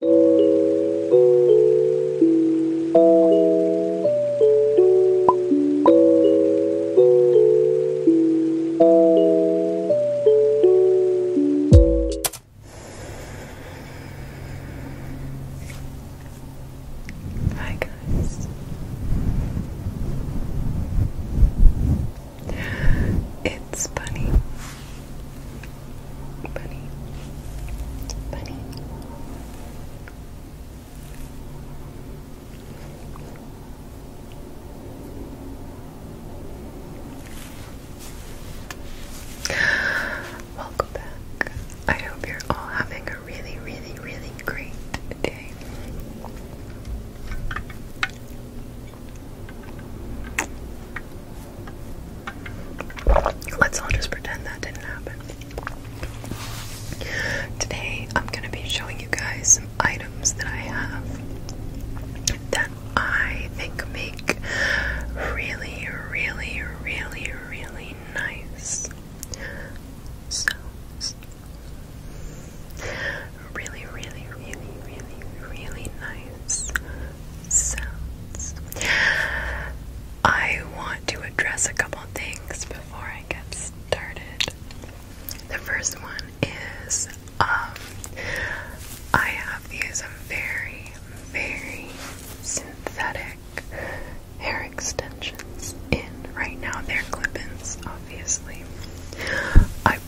Hi guys. It's Bunny. Bunny. Bunny. Welcome back. I hope you're all having a really, really, really great day. Let's all just pretend that didn't happen. Today, I'm going to be showing you guys some items that I have that I think make really, really, really, really nice sounds. Really, really, really, really, really nice noise I want to address a couple things before I get started. The first one is um I have these very, very synthetic hair extensions in right now. They're clip-ins, obviously. I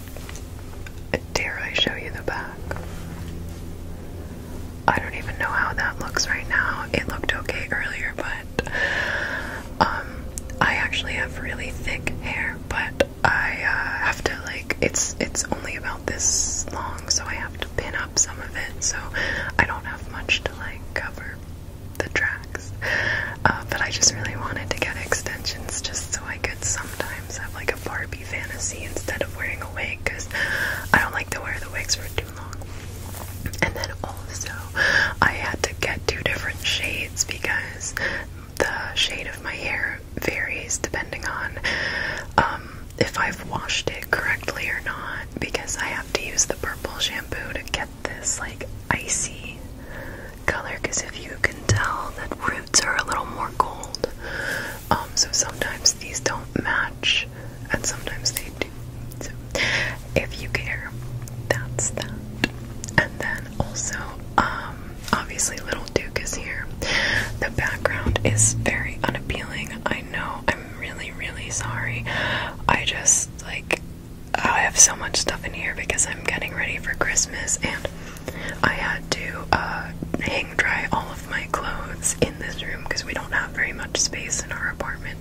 dare I show you the back? I don't even know how that looks right now. It looked okay earlier, but um, I actually have really thick hair, but I uh, have to like it's it's only about this long, so I have to pin up some of it, so I don't have much to like cover the tracks. Uh, but I just really wanted to get extensions just so I could sometimes have like a Barbie fantasy instead of wearing a wig because I don't like to wear the wigs for too long. And then also, I had to get two different shades because the shade of my hair varies depending on um, if I've washed it correctly or not. Because I have to use the purple shampoo to get this like icy color. Because if you can tell, that roots are a little more gold. Um, so sometimes these don't match, and sometimes they do. So if you care, that's that. And then also, um, obviously, Little Duke is here. The background is very unappealing. I know. I'm really, really sorry. I just like I have so much stuff in here because I'm getting ready for Christmas and I had to uh dry all of my clothes in this room because we don't have very much space in our apartment.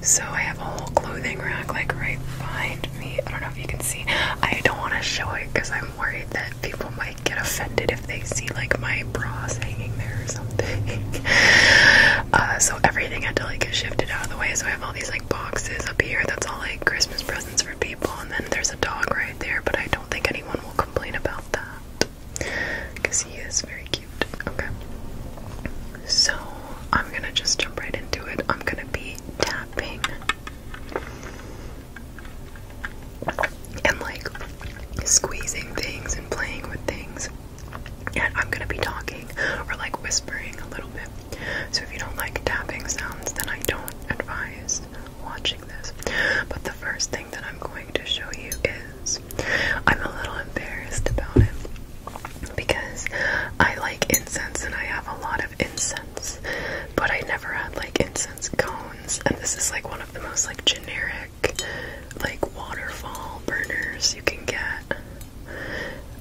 So I have a whole clothing rack like right behind me. I don't know if you can see. I don't want to show it because I'm worried that people might get offended if they see like my bras hanging there or something. Uh, so everything had to like get shifted out of the way. So I have all these like boxes up here. That's all like Christmas presents for people. And then there's a dog right there, but I don't think anyone will complain about that because he is very cute. Okay. So I'm gonna just jump right into it. I'm gonna be tapping and like squeezing things and playing with things. And I'm gonna be talking or like whispering a little bit. So if you don't like tapping sounds, then I don't advise watching this. But the first thing that I'm going to show you is I'm a little embarrassed about it because I like incense and I have a lot of incense, but I never had like incense cones, and this is like one of the most like generic like waterfall burners you can get.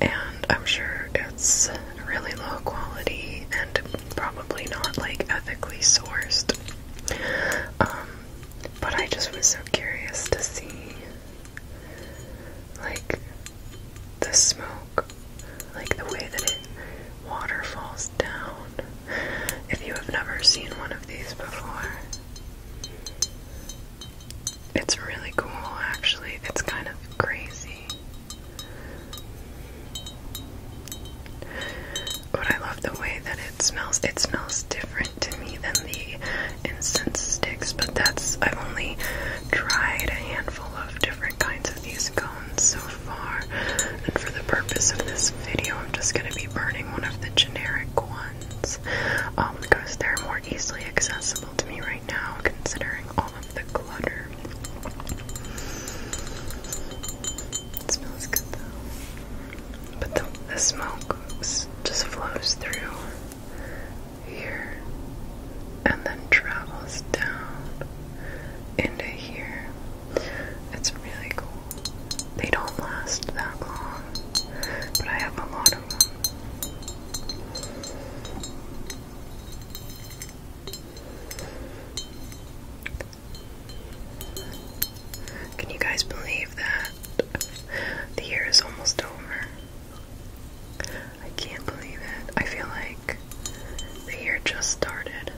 And I'm sure it's really low quality and probably not like ethically sourced. Um, but I just was so curious to see, like, the smoke, like the way that it water falls down. If you have never seen one of these before, it's really cool actually. It's kind of crazy. But I love the way that it smells. It smells different to me than the incense sticks, but that's I've only tried a handful of different kinds of these cones so far. And for the purpose of this video, I'm just gonna be burning one of the generic ones. Um, because they're more easily accessible to me right now considering all of the clutter. It smells good though. But the, the smoke just flows through here and then travels down into here. It's really cool. They don't last that long, but I have a lot of them. Can you guys believe that? The year is almost over. I can't believe it. I feel like the year just started.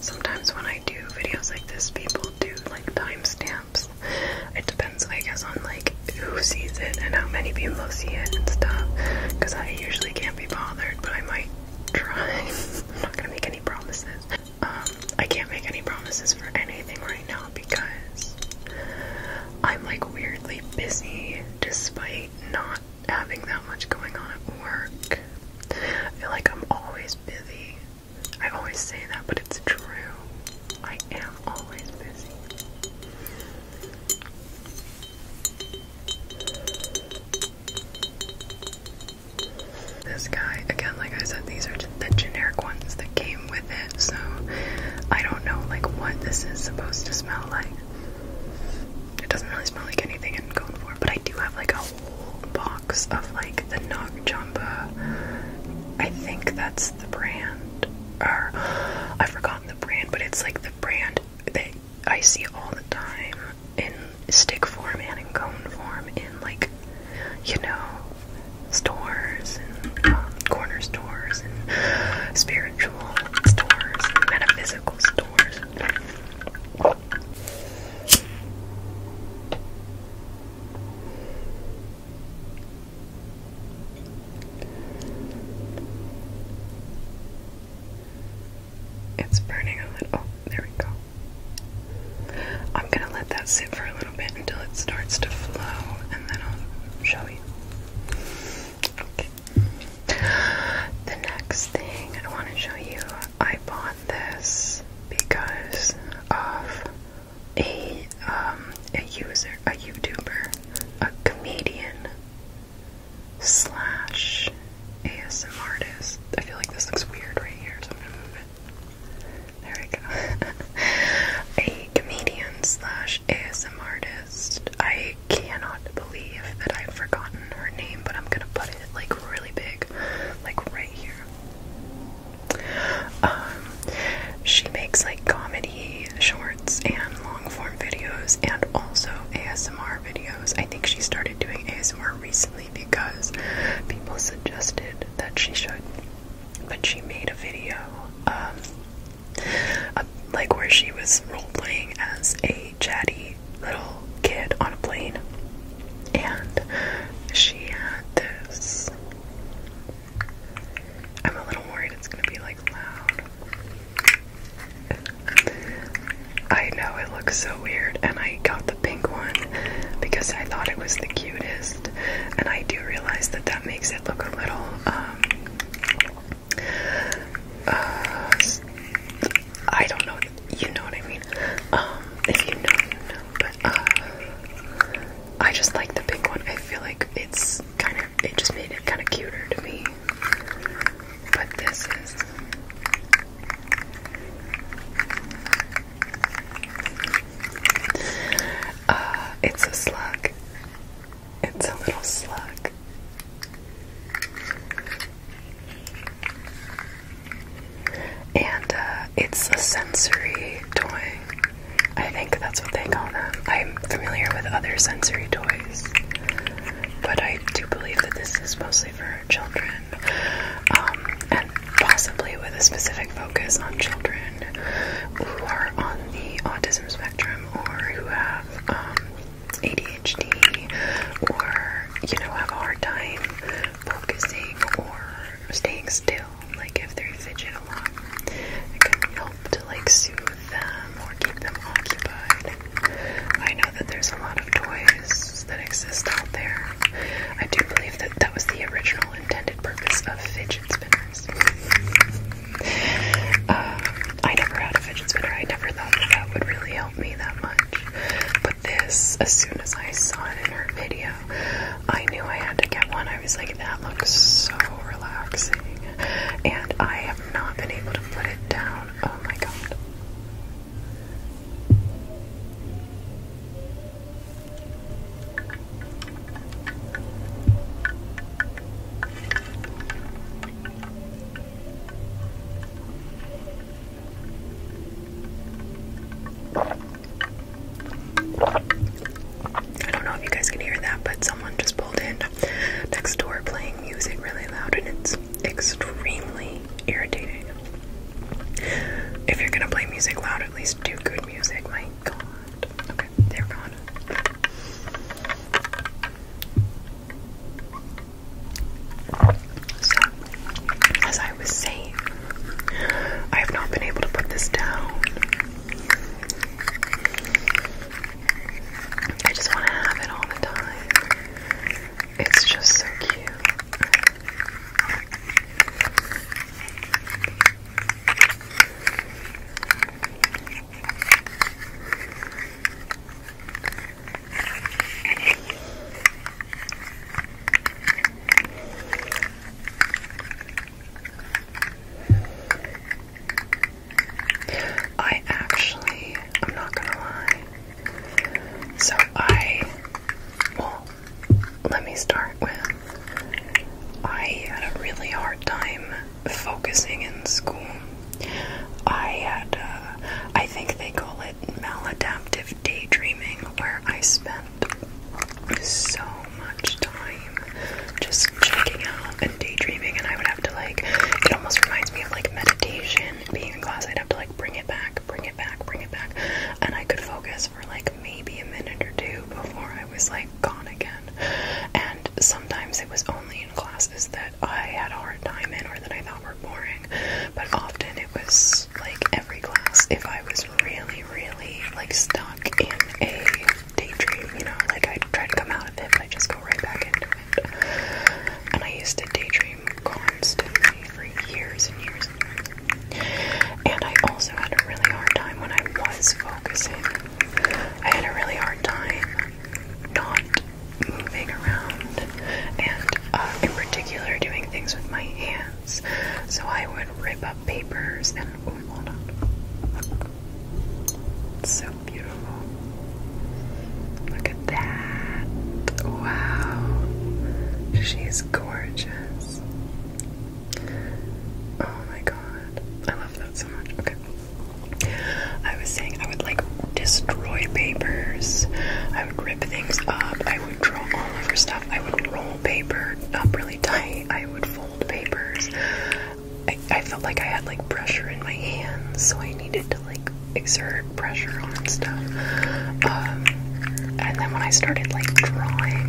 Sometimes when I do videos like this, people do like timestamps. It depends, I guess, on like who sees it and how many people see it and stuff because I usually can't be bothered but I might try I'm not gonna make any promises um I can't make any promises for anything right now because I'm like weirdly busy despite not having that much going on at work I feel like I'm always busy I always say that but it's true I am always busy this guy, again, like I said, these are the generic ones that came with it, so I don't know like what this is supposed to smell like. It doesn't really smell like anything I'm going for, but I do have like a whole box of like the Nog Chamba. I think that's the brand. Or I forgot the brand, but it's like the brand that I see all the time in stick form and cone form in like, you know, stores and um, corner stores and spiritual stores and metaphysical stores. It's burning a little. Oh, there we go. I'm going to let that sit for a little bit until it starts to flow, and then I'll show you. Okay. The next thing I want to show you, I bought this because of a um, a user, a YouTuber, a comedian, slash ASM artist. I feel like this looks weird right here, so I'm gonna move it. There we go. a comedian slash ASM artist. I cannot believe that I've forgotten her name, but I'm gonna put it like really big, like right here. Um, she makes like comedy shorts and long form videos and also ASMR videos. I think she started doing ASMR recently because people suggested that she should. But she made a video um, like where she was role playing as a chatty little kid on a plane. And she had this I'm a little worried it's gonna be like loud. I know it looks so weird, and I got the pink one because I thought it was the cutest, and I do realize that that makes it look a little um uh, I don't know, you know what I mean. Um, if you know, you know, but uh, I just like the pink one. I feel like it's kind of it just made it kind of cuter to me. But this is uh, it's a slug. It's a little slug. And uh, it's a sensory toy. I think that's what they call them. I'm familiar with other sensory toys, but I do believe that this is mostly for children, um, and possibly with a specific focus on children who are on the autism spectrum or who have um, ADHD or, you know, have a hard time focusing or staying still. Like if they fidget a it that can help to like soothe them or keep them occupied. I know that there's a lot of toys that exist out there. I do believe that that was the original intended purpose of fidget spinners. Uh, I never had a fidget spinner. I never thought that that would really help me that much. But this, as soon as I saw it in her video, I knew I had to get one. I was like, that looks so relaxing and I have not been able to put it down. Oh my god. I don't know if you guys can hear that, but someone just pulled in next door playing music really loud, and it's extremely irritating. If you're gonna play music loud, at least do good music. My god. Okay, they're gone. So, as I was saying, I have not been able to put this down. I just want to have it all the time. It's just so cute. I actually, I'm not gonna lie. So I, well, let me start with I had a really hard time focusing in school. I had, uh, I think they call it maladaptive daydreaming, where I spent so much time just checking out and daydreaming, and I would have to like it almost reminds me of like meditation being in class. I'd have to like bring it back, bring it back, bring it back, and I could focus for like maybe a minute or two before I was like gone again. And sometimes it was only in classes that I had a hard time in or that I thought were boring, but often it was like every class if I was really, really like stuck in a daydream, you know, like I'd try to come out of it, but I just go right back into it. And I used to daydream constantly for years and years and years. And I also had a really hard time when I was focusing. I had a really hard time not moving around and, uh, in particular, doing things with my hands. So I would rip papers and oh, my God, so beautiful. Look at that. Wow. She's gorgeous. Oh my god. I love that so much. Okay. I was saying I would like destroy papers. I would rip things up. I would draw all over stuff. I would roll paper up really tight. I would fold papers. I, felt like I had like pressure in my hands, so I needed to like exert pressure on stuff. Um, and then when I started like drawing,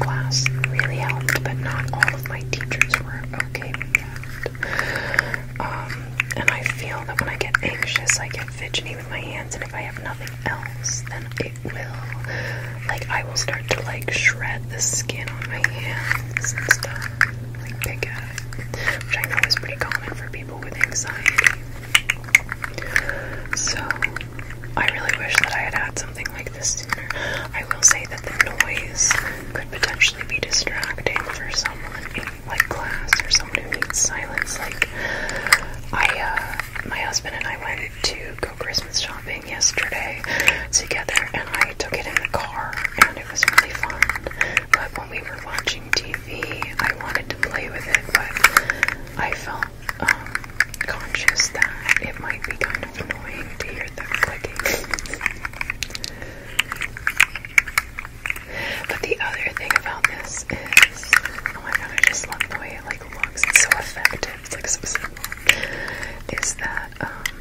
class really helped, but not all of my teachers were okay with that. Um, and I feel that when I get anxious, I get fidgety with my hands, and if I have nothing else, then it will like I will start to like shred the skin on my hands and stuff, like pick it, which I know is pretty common for people with anxiety. So I really wish that I had had something like this sooner. I will say that the noise could potentially be distracting for someone in like class or someone who needs silence. Like I, uh, my husband and I went to go Christmas shopping shopping yesterday together, and I took it in the car, and it was really fun. But when we were watching TV, I wanted to play with it, but I felt um, conscious that it might be kind of annoying to hear them clicking. but the other thing about this is, oh my god, I just love the way it like looks. It's so effective. It's like so simple. Is that um,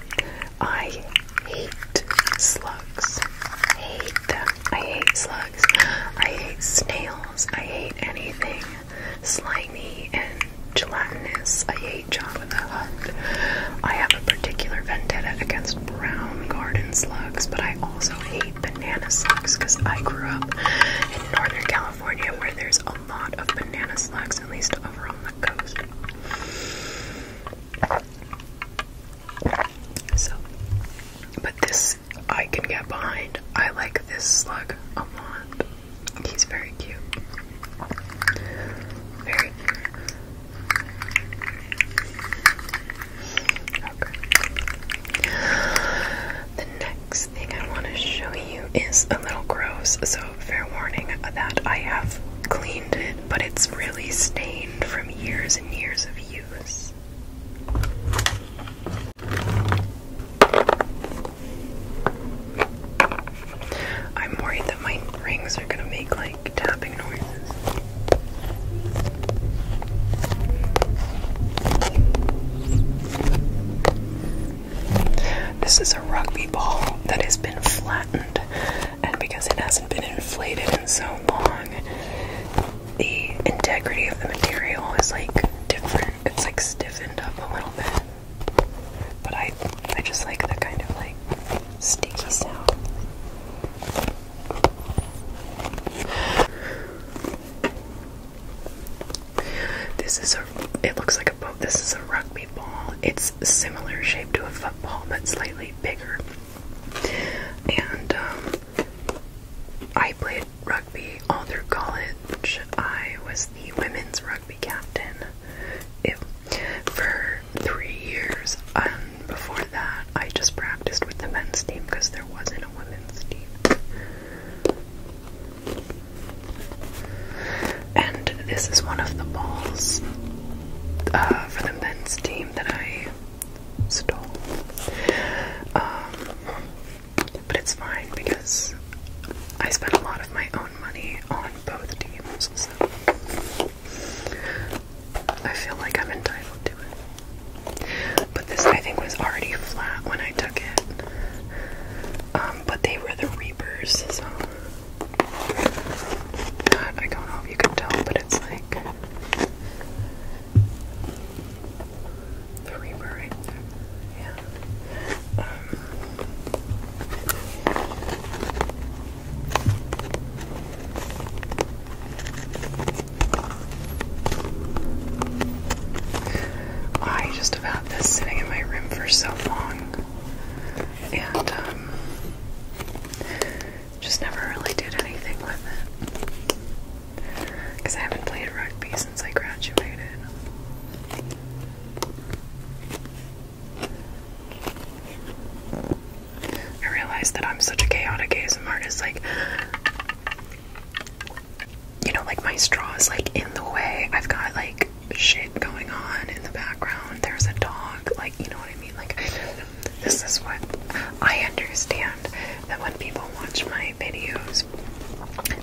I hate slugs. Hate them. I hate slugs. I hate snails. I hate anything slimy and gelatinous. I hate John with the Hutt. I have a particular vendetta against brown garden slugs, but I also hate banana slugs because I grew up in Northern California where there's a lot of banana slugs, at least over on the coast. So, but this I can get behind. I like this slug a lot. He's very cute. Very The next thing I want to show you is a little gross, so fair warning that I have cleaned it, but it's really stained from years and years of use. I'm worried that my rings are gonna make like tapping noises. This is a rugby ball that has been flattened, and because it hasn't been inflated in so long, the integrity of the material is like different. It's like stiffened up a little bit. But I I just like the kind of like sticky sound. This is a it looks like a boat. This is a rugby it's similar shape to a football, but slightly bigger. And um, I played rugby all through college. I was the women's rugby captain for three years. And before that, I just practiced with the men's team because there wasn't a women's team. And this is one of the balls uh, for the men's team that I stole. Um, but it's fine because I spent a lot of my own money on both teams, so I feel like I'm entitled to it. But this, I think, was already flat when I took it. Um, but they were the Reapers, so I don't know if you can tell, but it's like the reaper right there. Yeah. Um, I just have this sitting in my room for so long and um, just never really did anything with it because I haven't played rugby since I graduated. I realize that I'm such a chaotic ASM artist, like, you know, like my straw is like in the way. I've got like shit going on in the background. There's a dog, like, you know what I mean? Like, this is what I understand that when people watch my videos,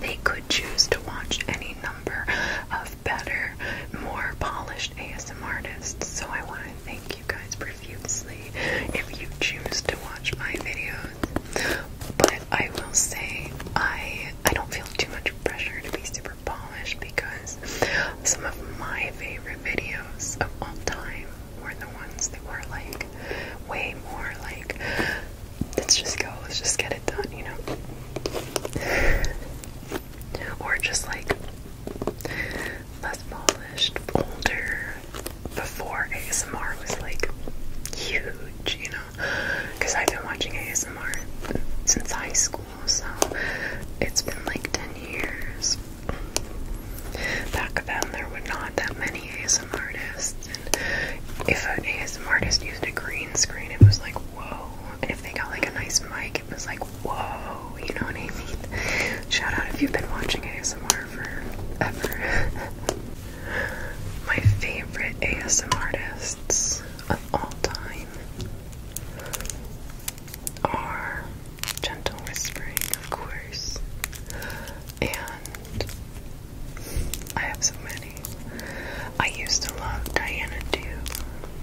they could choose to watch any number of better, more polished ASM artists. So I want to thank you guys profusely if you choose to watch my videos. But I will say I I don't feel too much pressure to be super Polished because some of my favorite videos of all time were the ones that were like way more like let's just go, let's just get it done, you know. or just like less polished, older before ASMR was like huge, you know because I've been watching ASMR since high school, so it's been like 10 years. Back then, there were not that many ASMR artists, and if an ASMR artist used a green screen, it was like, whoa, and if they got like a nice mic, it was like, whoa, you know what I mean? Shout out if you've been watching ASMR for ever. My favorite ASMR artists of all time are gentle whispering, of course, and I have so many. I used to love Diana Dew.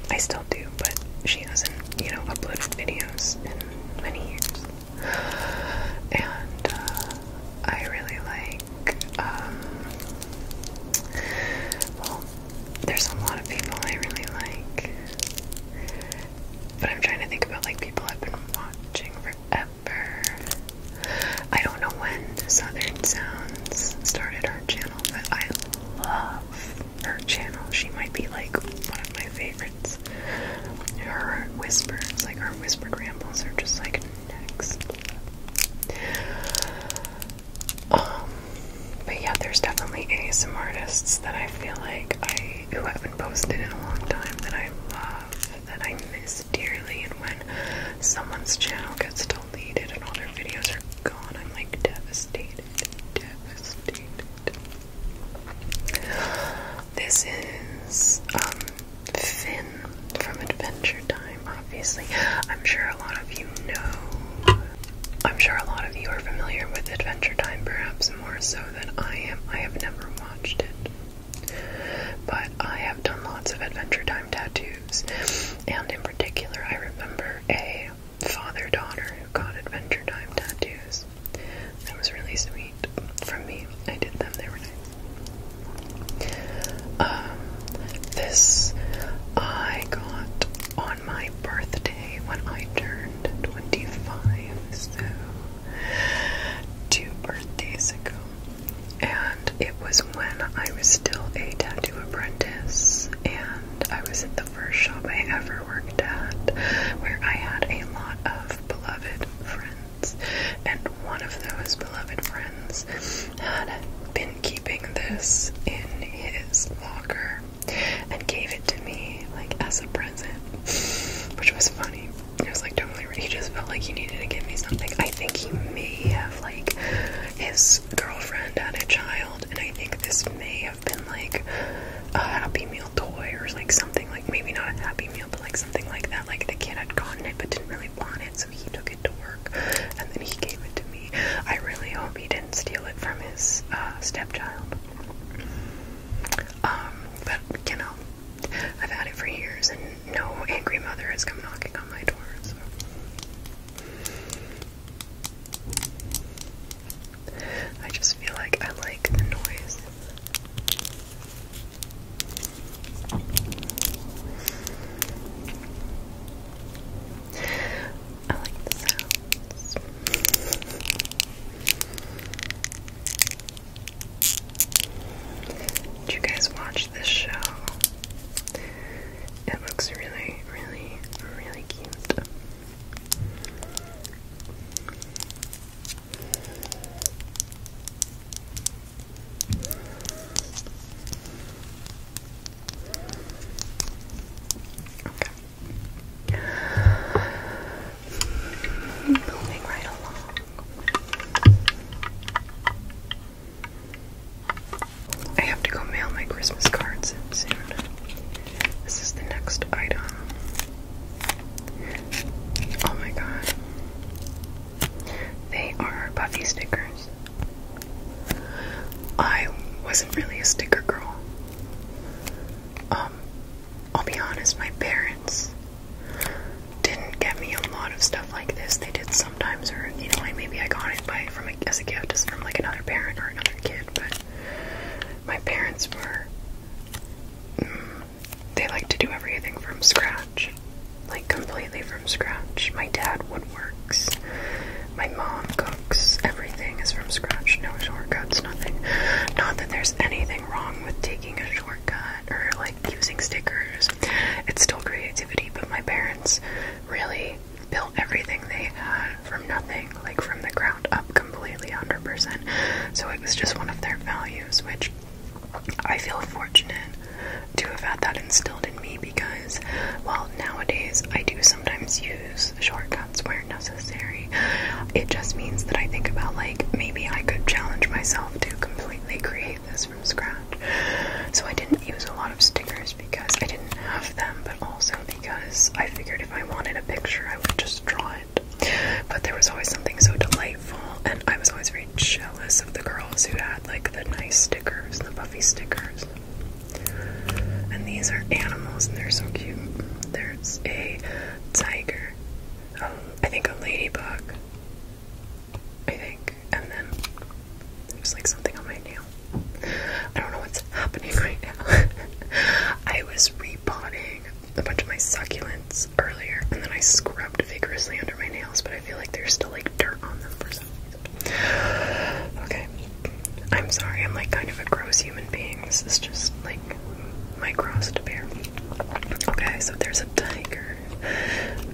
I still do, but she hasn't, you know, uploaded videos in many years. And uh, I really like um, well, there's a lot of people I really like, but I'm trying to think about like people I've been watching forever. I don't know when Southern Sounds started her channel, but I love her channel. She might be like one of my favorites. Her whispers, like her whispered rambles, are just like next. Um, but yeah, there's definitely ASM artists that I feel like I who haven't posted in a long time that I love, that I miss dearly, and when someone's channel gets deleted and all their videos are gone, I'm like devastated, devastated. This is um, Finn from Adventure Time time, obviously. I'm sure a lot of you know. I'm sure a lot of you are familiar with Adventure Time, perhaps more so than I am. I have never watched it. But I have done lots of Adventure Time tattoos. And in particular, I remember a father daughter who got Adventure Time tattoos. That was really sweet from me. I did them, they were nice. Um, this I got on my birthday when I turned 25, so two birthdays ago. And it was when I was still a tattoo apprentice, and I was at the first shop I ever worked at where I had a lot of beloved friends. And one of those beloved friends had been keeping this in his locker and gave it to me like as a present, which was funny. It was like totally he just felt like he needed to give me something. I think he may have like his girlfriend had a child, and I think this may have been like a Happy Meal toy or like something like maybe not a Happy Meal, but like something like that. Like the kid had gotten it but didn't really want it, he took it to work and then he gave it to me. I really hope he didn't steal it from his uh, stepchild. Um, but you know, I've had it for years and no angry mother has come knocking on my door, so. I just feel like I like the noise. I like the sounds. Did you guys watch this show? It looks really, really, really cute. Okay. Moving right along. I have to go mail my Christmas cards soon. This is the next item. Oh my god. They are Buffy stickers. I wasn't really a sticker girl. Um, I'll be honest, my parents didn't get me a lot of stuff like this. They did sometimes, or you know, like maybe I got it from as a gift, from like another parent or another kid. But my parents were—they mm, like to do everything from scratch like completely from scratch. My dad woodworks, my mom cooks. Everything is from scratch. No shortcuts, nothing. Not that there's anything wrong with taking a shortcut or like using stickers. It's still creativity, but my parents really built everything they had from nothing, like from the ground up completely 100%. So it was just one of their values, which I feel fortunate to have had that instilled in me because, well, nowadays I do sometimes use shortcuts where necessary. It just means that I think about, like, maybe I could challenge myself to completely create this from scratch. So I didn't use a lot of stickers because I didn't have them, but also because I figured if I wanted a picture, I would just draw it. But there was always something so delightful, and I was always very jealous of the girls who had like the nice stickers, the Buffy stickers. And these are animals, and they're so cute. There's a tiger, um, I think a ladybug, I think, and then there's like something on my nail. I don't know what's happening right now. I was repotting a bunch of my succulents earlier, and then I scrubbed vigorously under my nails, but I feel like there's still like dirt on them for some Okay. I'm sorry, I'm like kind of a gross human being. This is just like my gross to bear. Okay, so there's a tiger.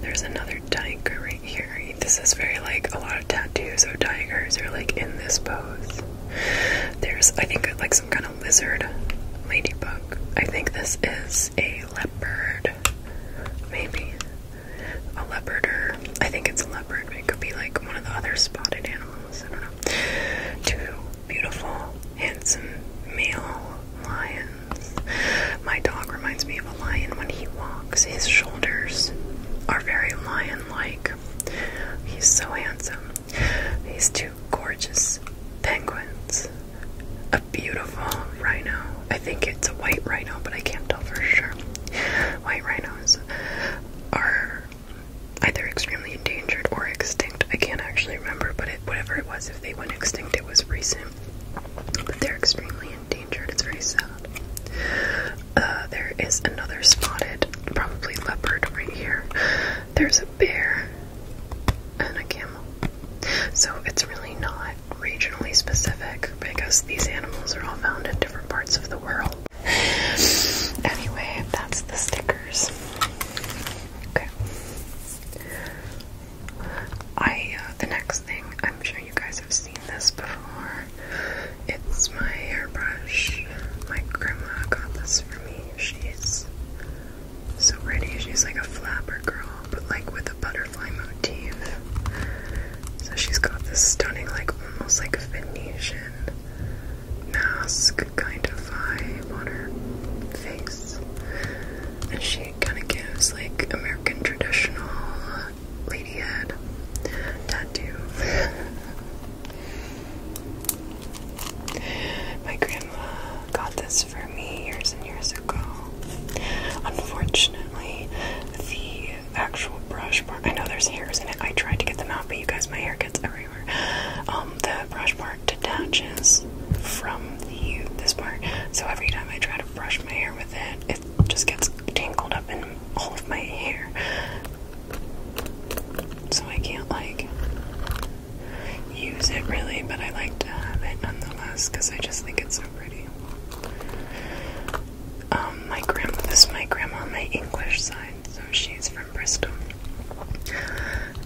There's another tiger right here. This is very like a lot of tattoos of tigers are like in this pose. There's, I think, like some kind of lizard ladybug. I think this is a leopard. Maybe a leopard or I think it's a leopard, but it could be like one of the other spotted animals. I don't know. Two beautiful, handsome male lions. My dog reminds me of a lion when he walks. His shoulders are very lion-like. He's so handsome. These two gorgeous penguins beautiful rhino. I think it's a white rhino, but I can't tell for sure. White rhinos are either extremely endangered or extinct. I can't actually remember, but whatever it was, if they went extinct, it was recent. But they're extremely endangered. It's very sad. Uh, there is another spotted, probably leopard, right here. There's a bear and a camel. So it's really not regionally specific because these animals are all found in different parts of the world. Anyway, that's the stickers. Okay. I uh, the next thing I'm sure you guys have seen this before. It's my hairbrush. My grandma got this for me. She's so pretty. She's like a flapper girl but like with a butterfly motif. So she's got this stunning, like almost like a Venetian mask kind of vibe on her face. And she kind of gives like American traditional uh, lady head tattoo. My grandma got this for me years years ago. Unfortunately, the actual brush part I know there's hairs in it. I tried to get them out, but you guys, my hair gets everywhere. Um, the brush part detaches from the this part, so every time I try to brush my hair with it, it just gets tangled up in all of my hair. So I can't like use it really, but I like to have it nonetheless because I just think it's so pretty. Um, my grandma, is my grandma on my English side, so she's from Bristol.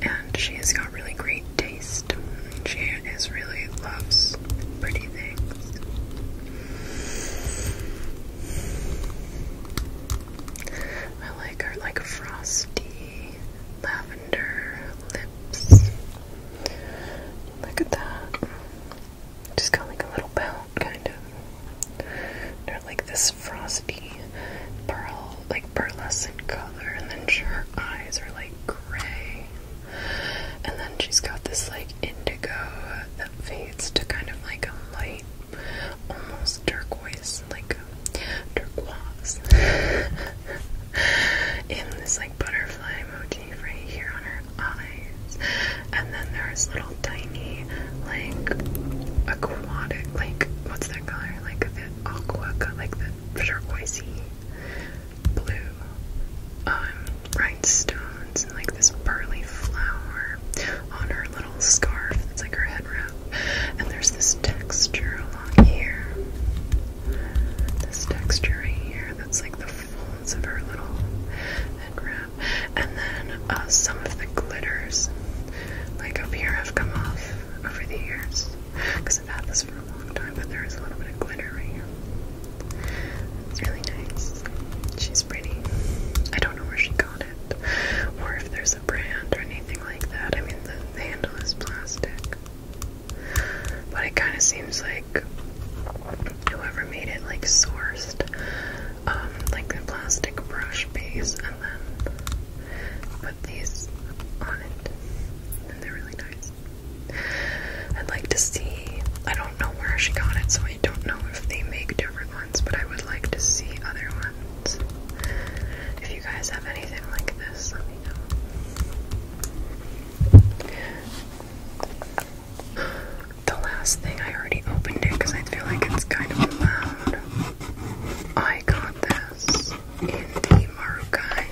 And she has got really great taste. She is really loves pretty things. I like her like frosty lavender lips. Look at that. Just got like a little pout, kind of. they like this frosty pearl, like pearlescent color, and then her eyes are like gray. And then she's got this like indigo that fades to kind of like a light, almost turquoise, like turquoise. and this like butterfly motif right here on her eyes. And then there's little tiny, like, aquatic, like, what's that color? Like a bit aqua, like the turquoisey blue um, rhinestones, and like this pearly flower on her little scarf. That's like her head wrap. And there's this texture along here. This texture right here that's like the of her little head wrap. And then uh, some of the glitters, like up here, have come off over the years. Because I've had this for a long time, but there is a little bit of glitter right here. It's really nice. She's pretty. I don't know where she got it, or if there's a brand or anything like that. I mean, the handle is plastic. But it kind of seems like whoever made it like sourced um, like the plastic brush base and then put these on it. And they're really nice. I'd like to see, I don't know where she got it, so I don't know if they make different ones, but I would like to see other ones. If you guys have anything like this, let me know. The last thing I already opened it because I feel like it's kind of loud. I got this in the Marukai.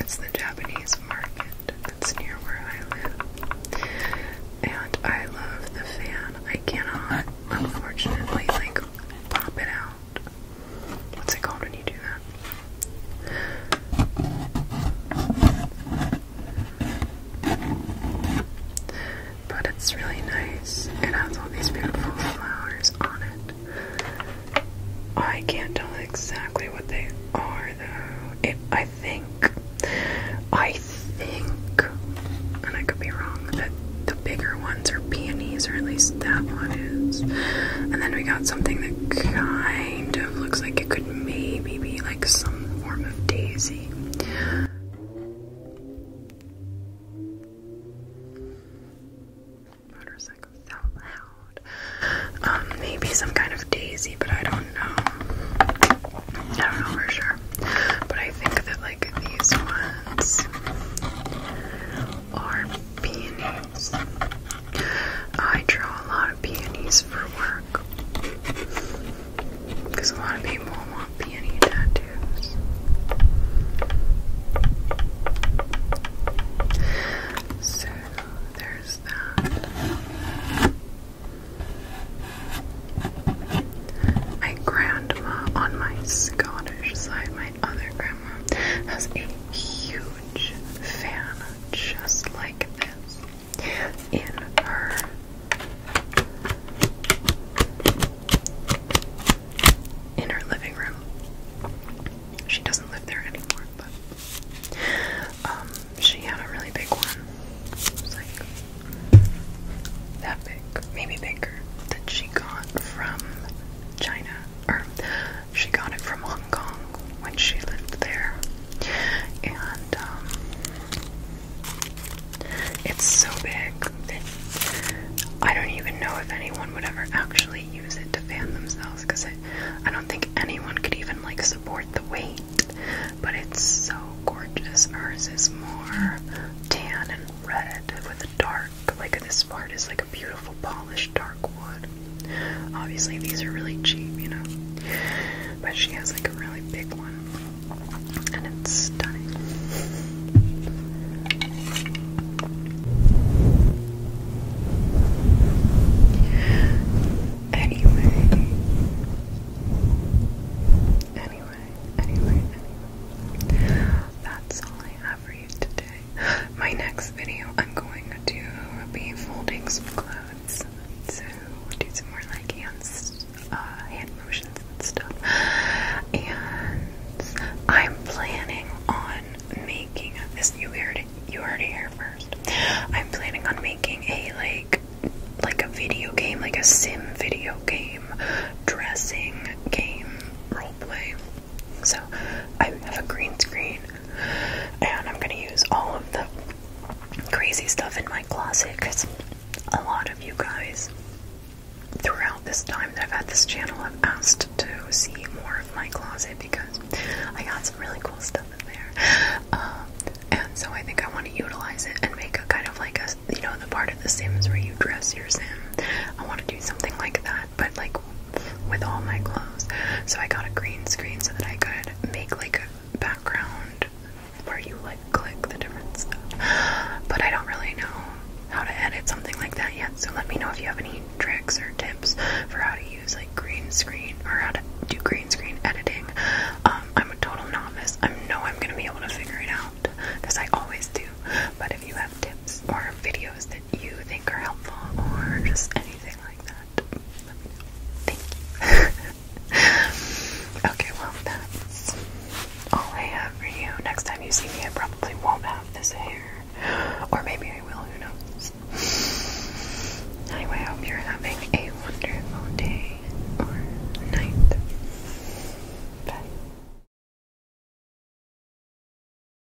It's the Japanese market that's near where I live. And I love the fan. I cannot, unfortunately, like pop it out What's it called when you do that? But it's really nice. It has all these beautiful flowers on it. Oh, I can't tell exactly what they are though. It, I think, I think, and I could be wrong, that the bigger ones are peonies, or at least that one is. And then we got something that kind of looks like it could maybe be like some form of daisy. Motorcycle so loud. Um, maybe some kind of daisy, but I don't know. I don't know for sure. But I think that like these ones are peonies. I draw a lot of peonies for work because a lot of people want peony tattoos. So there's that. My grandma on my Scottish side, my other grandma, has a huge fan just like this in her in her living room. She doesn't live there anymore, but um, she had a really big one. like that big, maybe bigger, that she got from China or she got it from Hong Kong when she lived there. And um, it's so big I don't even know if anyone would ever actually use it to fan themselves because I don't think anyone could even like support the weight. But it's so gorgeous. Hers is more tan and red with a dark dark, but like this part is like a beautiful polished dark wood. Obviously, these are really cheap, you know. But she has like a really big one, and it's stunning. Anyway, anyway, anyway, that's all I for you today. My next video, I'm going to be folding some clothes. So, we'll do some more like hands, uh, hand motions and stuff. And I'm planning on making this. You heard it. You heard it here first. I'm planning on making a like, like a video game, like a sim video game, dressing game, role play. So I have a green screen and I'm gonna use all of the crazy stuff in my closet because a lot of you guys throughout this time that I've had this channel have asked to see more of my closet because I got some really cool stuff in there. Um, and so I think I want to utilize it and make a kind of like a, you know, the part of The Sims where you dress your Sim. I want to do something like that but like with all my clothes. So I got a green screen so that I could make like a background where you like click the difference. But I don't really know how to edit something like that yet. So let me know if you have any tricks or tips for how to use like green screen or how to do green screen editing. Um, I'm a total novice. I know I'm gonna be able to figure it out because I always do. But if you have tips or videos that you think are helpful or just anything like that, Thank you. okay, well, that's all I have for you. Next time you see me, I probably won't have this hair. Or maybe I will, who knows? Anyway, hope you're having a wonderful day or night. Bye.